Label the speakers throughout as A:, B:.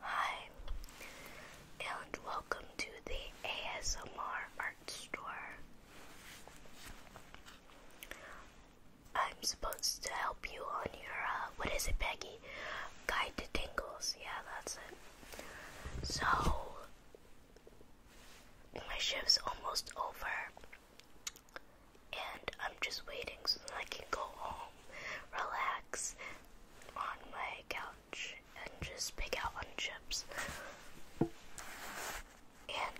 A: Hi, and welcome to the ASMR Art Store. I'm supposed to help you on your, uh, what is it, Peggy? Guide to Tingles. Yeah, that's it. So, my shift's almost over. And I'm just waiting so that I can go home, relax on my couch, and just pick out on chips. And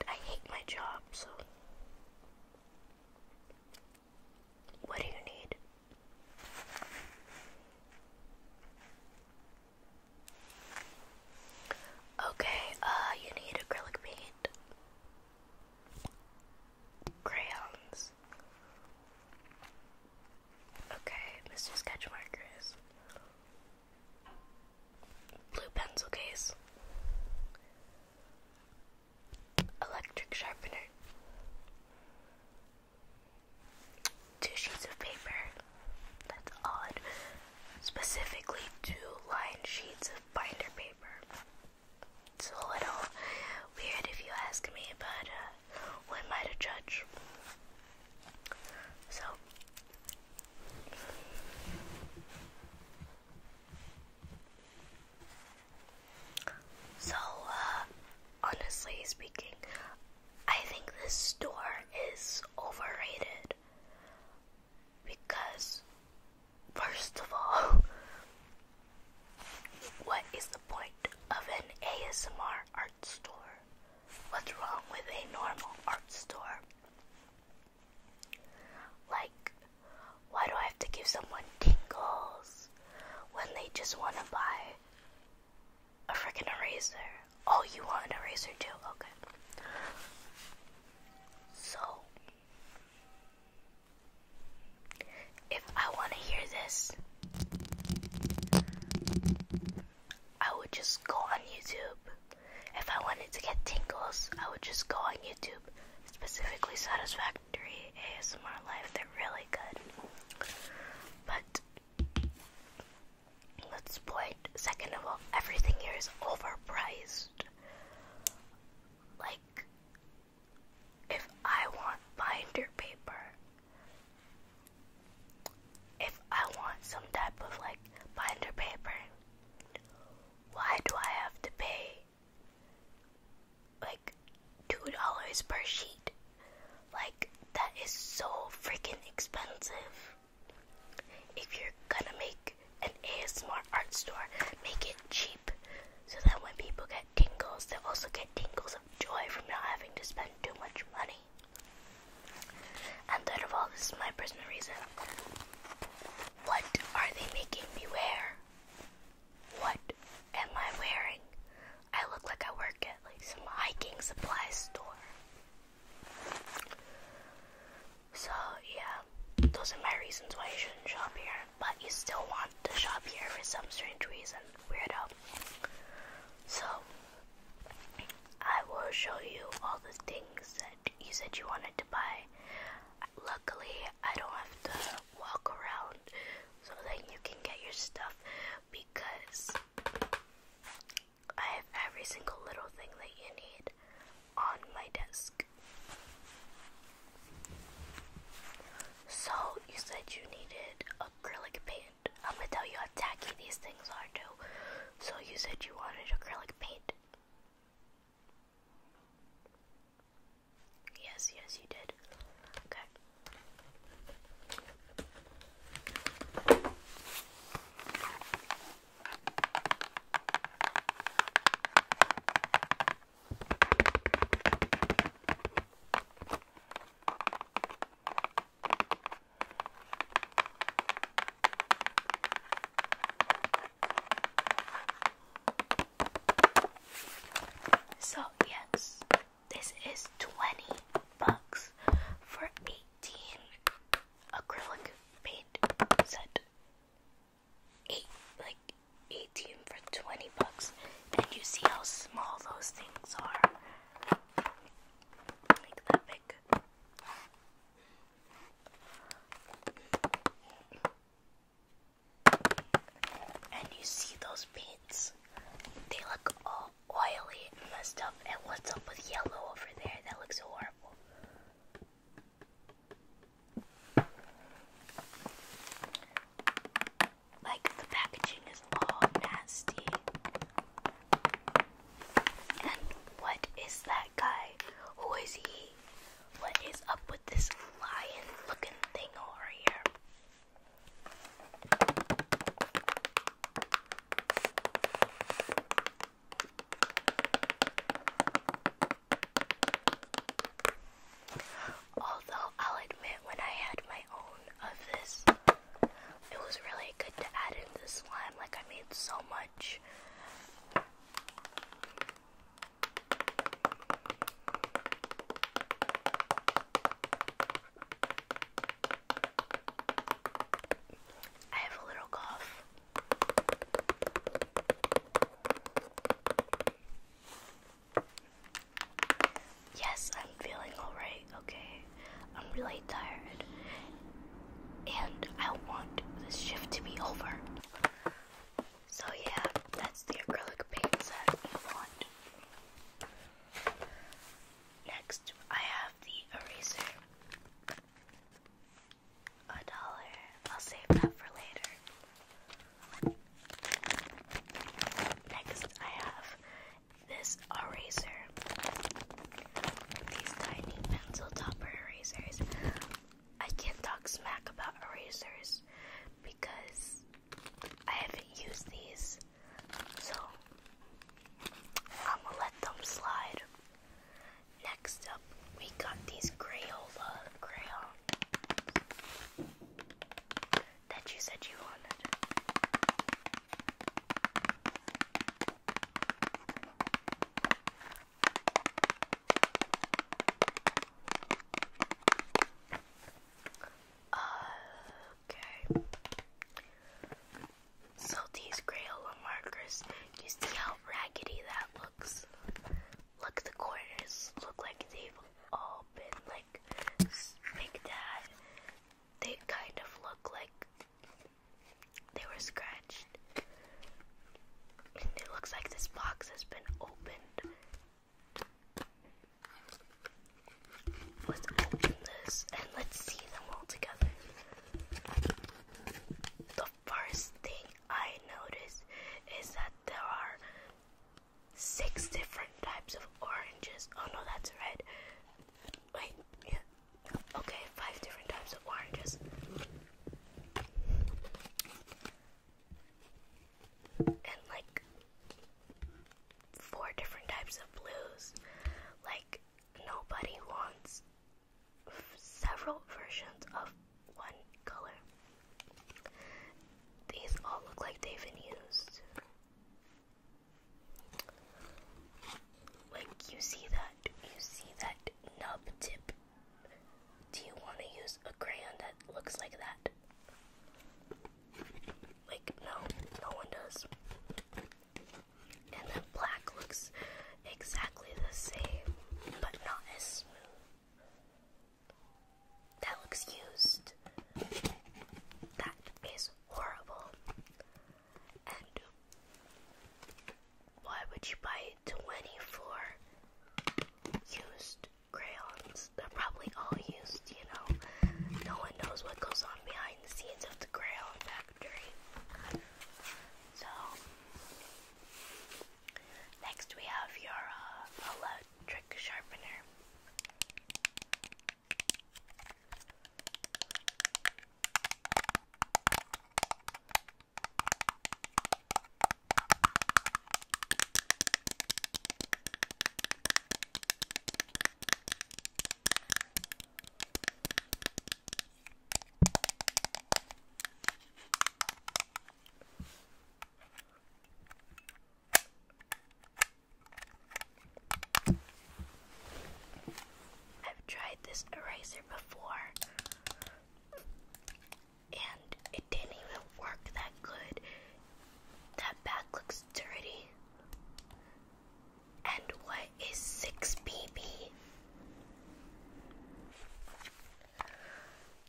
A: I hate my job, so. What do you need? Okay, uh, you need acrylic paint, crayons. Okay, Mr. Sketch blue pencil case, electric sharpener, two sheets of paper. That's odd. Specifically, two lined sheets of binder paper. It's a little weird if you ask me, but uh, who am I to judge? So. So, uh, honestly speaking, I think this store is overrated. Because, first of all, what is the point of an ASMR art store? What's wrong with a normal art store? Like, why do I have to give someone tingles when they just want to buy a freaking eraser. all oh, you want an eraser too? Okay. So, if I want to hear this, I would just go on YouTube. If I wanted to get tingles, I would just go on YouTube, specifically Satisfactory ASMR life. They're really good. But Let's point. Second of all, everything here is overpriced. Like, if I want binder paper, if I want some type of like binder paper, why do I have to pay like two dollars per sheet? Like, that is so freaking expensive. If you're gonna make an ASMR art store, make it cheap so that when people get tingles, they also get tingles of joy from not having to spend too much money. And third of all, this is my personal reason. What are they making me wear? What am I wearing? I look like I work at like some hiking supply store. So yeah, those are my reasons why you shouldn't shop here, but you still want to shop here for some strange reason, weirdo. So I will show you all the things that you said you wanted to buy. Luckily, I don't have to walk around so that you can get your stuff because I have every single little thing that you need on my desk. So, you said you needed acrylic paint. I'm gonna tell you how tacky these things are, too. So, you said you wanted acrylic paint. Yes, yes, you did. Okay. So, yes, this is 20 bucks for 18 acrylic paint set. Eight, like 18 for 20 bucks. And you see how small those things are. Like that big. And you see those paints? They look all all oily messed up. And what's up with yellow over there? That looks horrible. Like, the packaging is all nasty. And what is that guy? Who is he? What is up with this lion looking thing over here? Although I'll admit, when I had my own of this, it was really good to add in the slime. Like, I made so much. I have a little cough. Yes, I'm feeling alright, okay? I'm really tired. And I want this shift to be over. So, yeah, that's the acrylic paint set I want. Next, I have the eraser. A dollar. I'll save that for later. Next, I have this eraser. These tiny pencil topper erasers. I can't talk smack about erasers because I haven't used these, so I'm gonna let them slide. Next up, we got these Crayola crayons that you said you wanted. Uh, okay. So these Crayola markers, you see how raggedy that looks? Look, the corners look like they've all been like picked at. They kind of look like they were scratched. And it looks like this box has been opened Let's open this and let's see them all together. The first thing I noticed is that there are six different types of oranges. Oh no, that's red. Wait, yeah. Okay, five different types of oranges and like four different types of blues. Like, nobody wants several versions of one color. These all look like they've been used. Like, you see that, you see that nub tip do you want to use a crayon that looks like that? Like, no, no one does. And then black looks exactly the same, but not as smooth. That looks used. That is horrible. And why would you buy 24 used crayons. They're probably all used, you know. No one knows what goes on behind the scenes of the crayon factory. So, next we have your uh, electric sharpener. I've tried this eraser before and it didn't even work that good. That back looks dirty. And what is 6BB?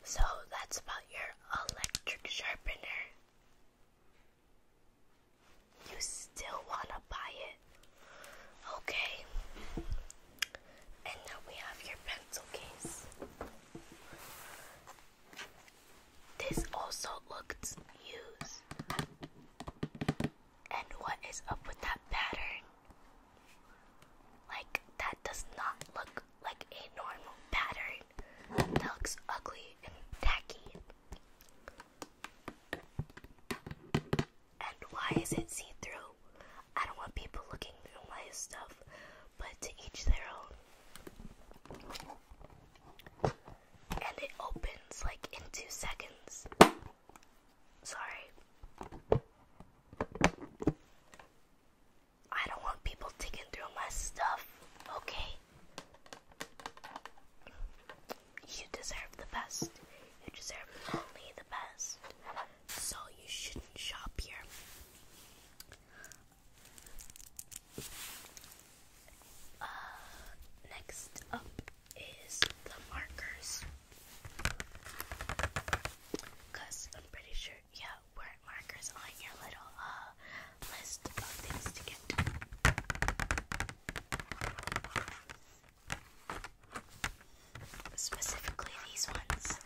A: So that's about your electric sharpener. You still want to buy it. Okay. And now we have your pencil case. This also looks used. And what is up with that pattern? Like, that does not look like a normal pattern. That looks ugly and tacky. And why is it see through? I don't want people looking through my stuff, but to each their own. And it opens like in two seconds. Sorry. I don't want people taking through my stuff, okay? You deserve the best. You deserve only the best so you shouldn't shop here. Uh, next up is the markers. Because I'm pretty sure, yeah, weren't markers on your little uh, list of things to get? Specifically, these ones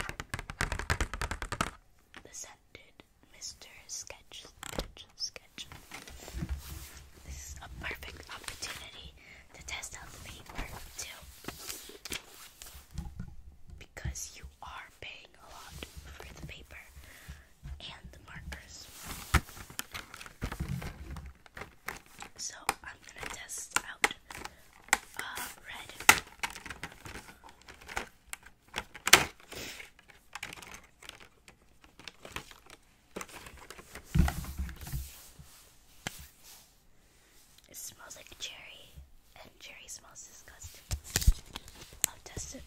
A: the scented Mr. Sketch. This is a perfect opportunity to test out the paper, too. Because you are paying a lot for the paper and the markers. So, I'm gonna test out it smells like cherry, and cherry smells disgusting. I'll test it.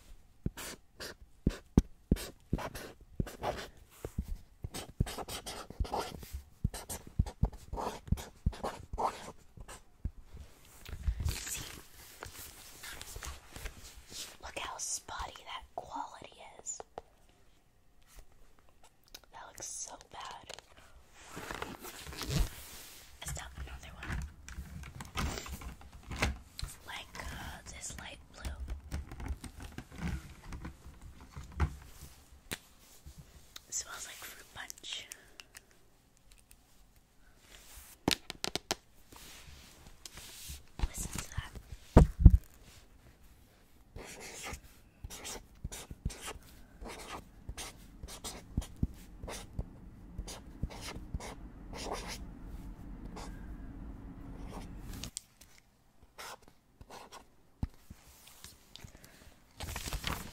A: Look how spotty that quality is. That looks so bad. Let's stop another one. Like uh, this light blue smells like fruit punch. Listen to that.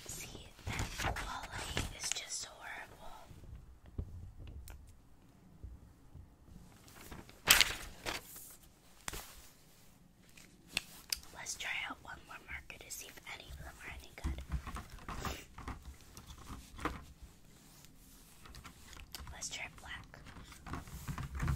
A: See, that quality is just horrible. Let's try out one more marker to see if any of them are any good. Let's try black.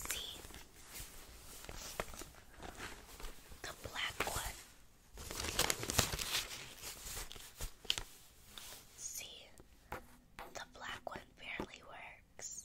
A: See the black one. See, the black one barely works.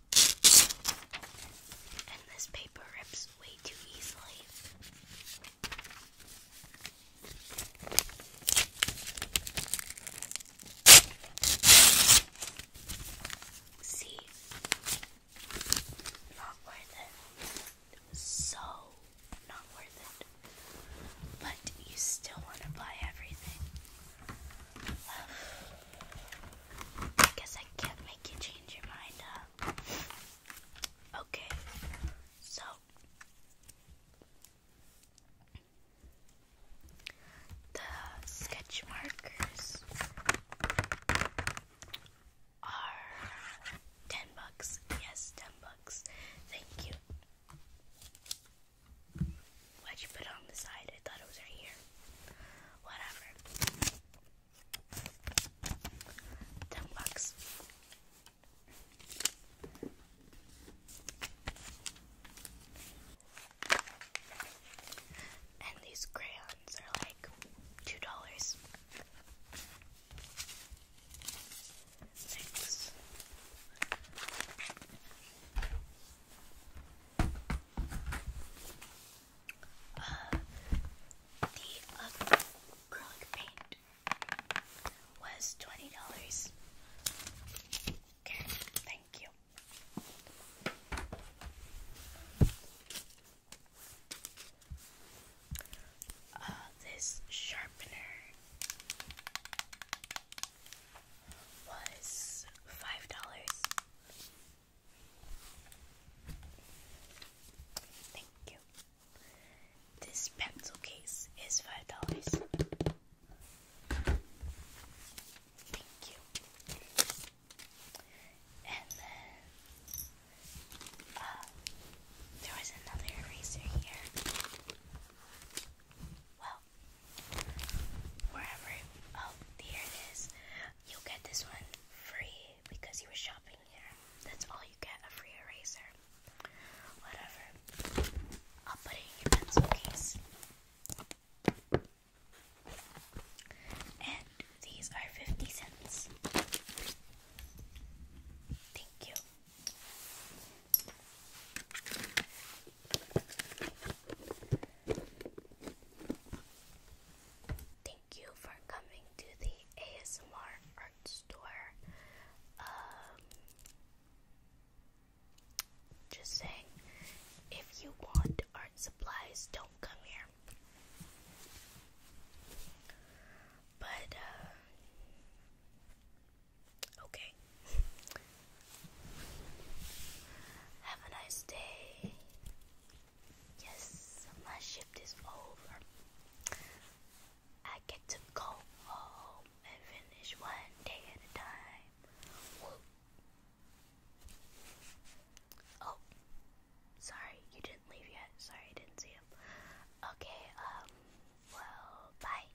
A: And this paper rips way too easily. See? Not worth it. So not worth it. But you still want to buy everything. I guess I can't make you change your mind, Okay, so the sketch markers are ten bucks. Yes, ten bucks. Thank you. Why'd you put it on the side? I thought it was right here. Whatever. Ten bucks. And these crayons are like two dollars. Next the uh, acrylic paint was twenty dollars. Okay, thank you. this sharpener was five dollars. Thank you. This pencil case is five dollars. Thank you. And then uh, there was another eraser here. Wow, wherever, oh, here it is. You get this one free because you were shopping here. That's all you get, a free eraser. Whatever. I'll put it in your pencil case. And these are 50 cents. Thank you. Thank you for coming to the ASMR art store. Um, just saying, if you want art supplies, don't come here. But, uh, Okay. Have a nice day. Yes, my shift is over. I get to go home and finish one day at a time. Oh, sorry, you didn't leave yet. Sorry, I didn't see him. Okay, um, well, bye.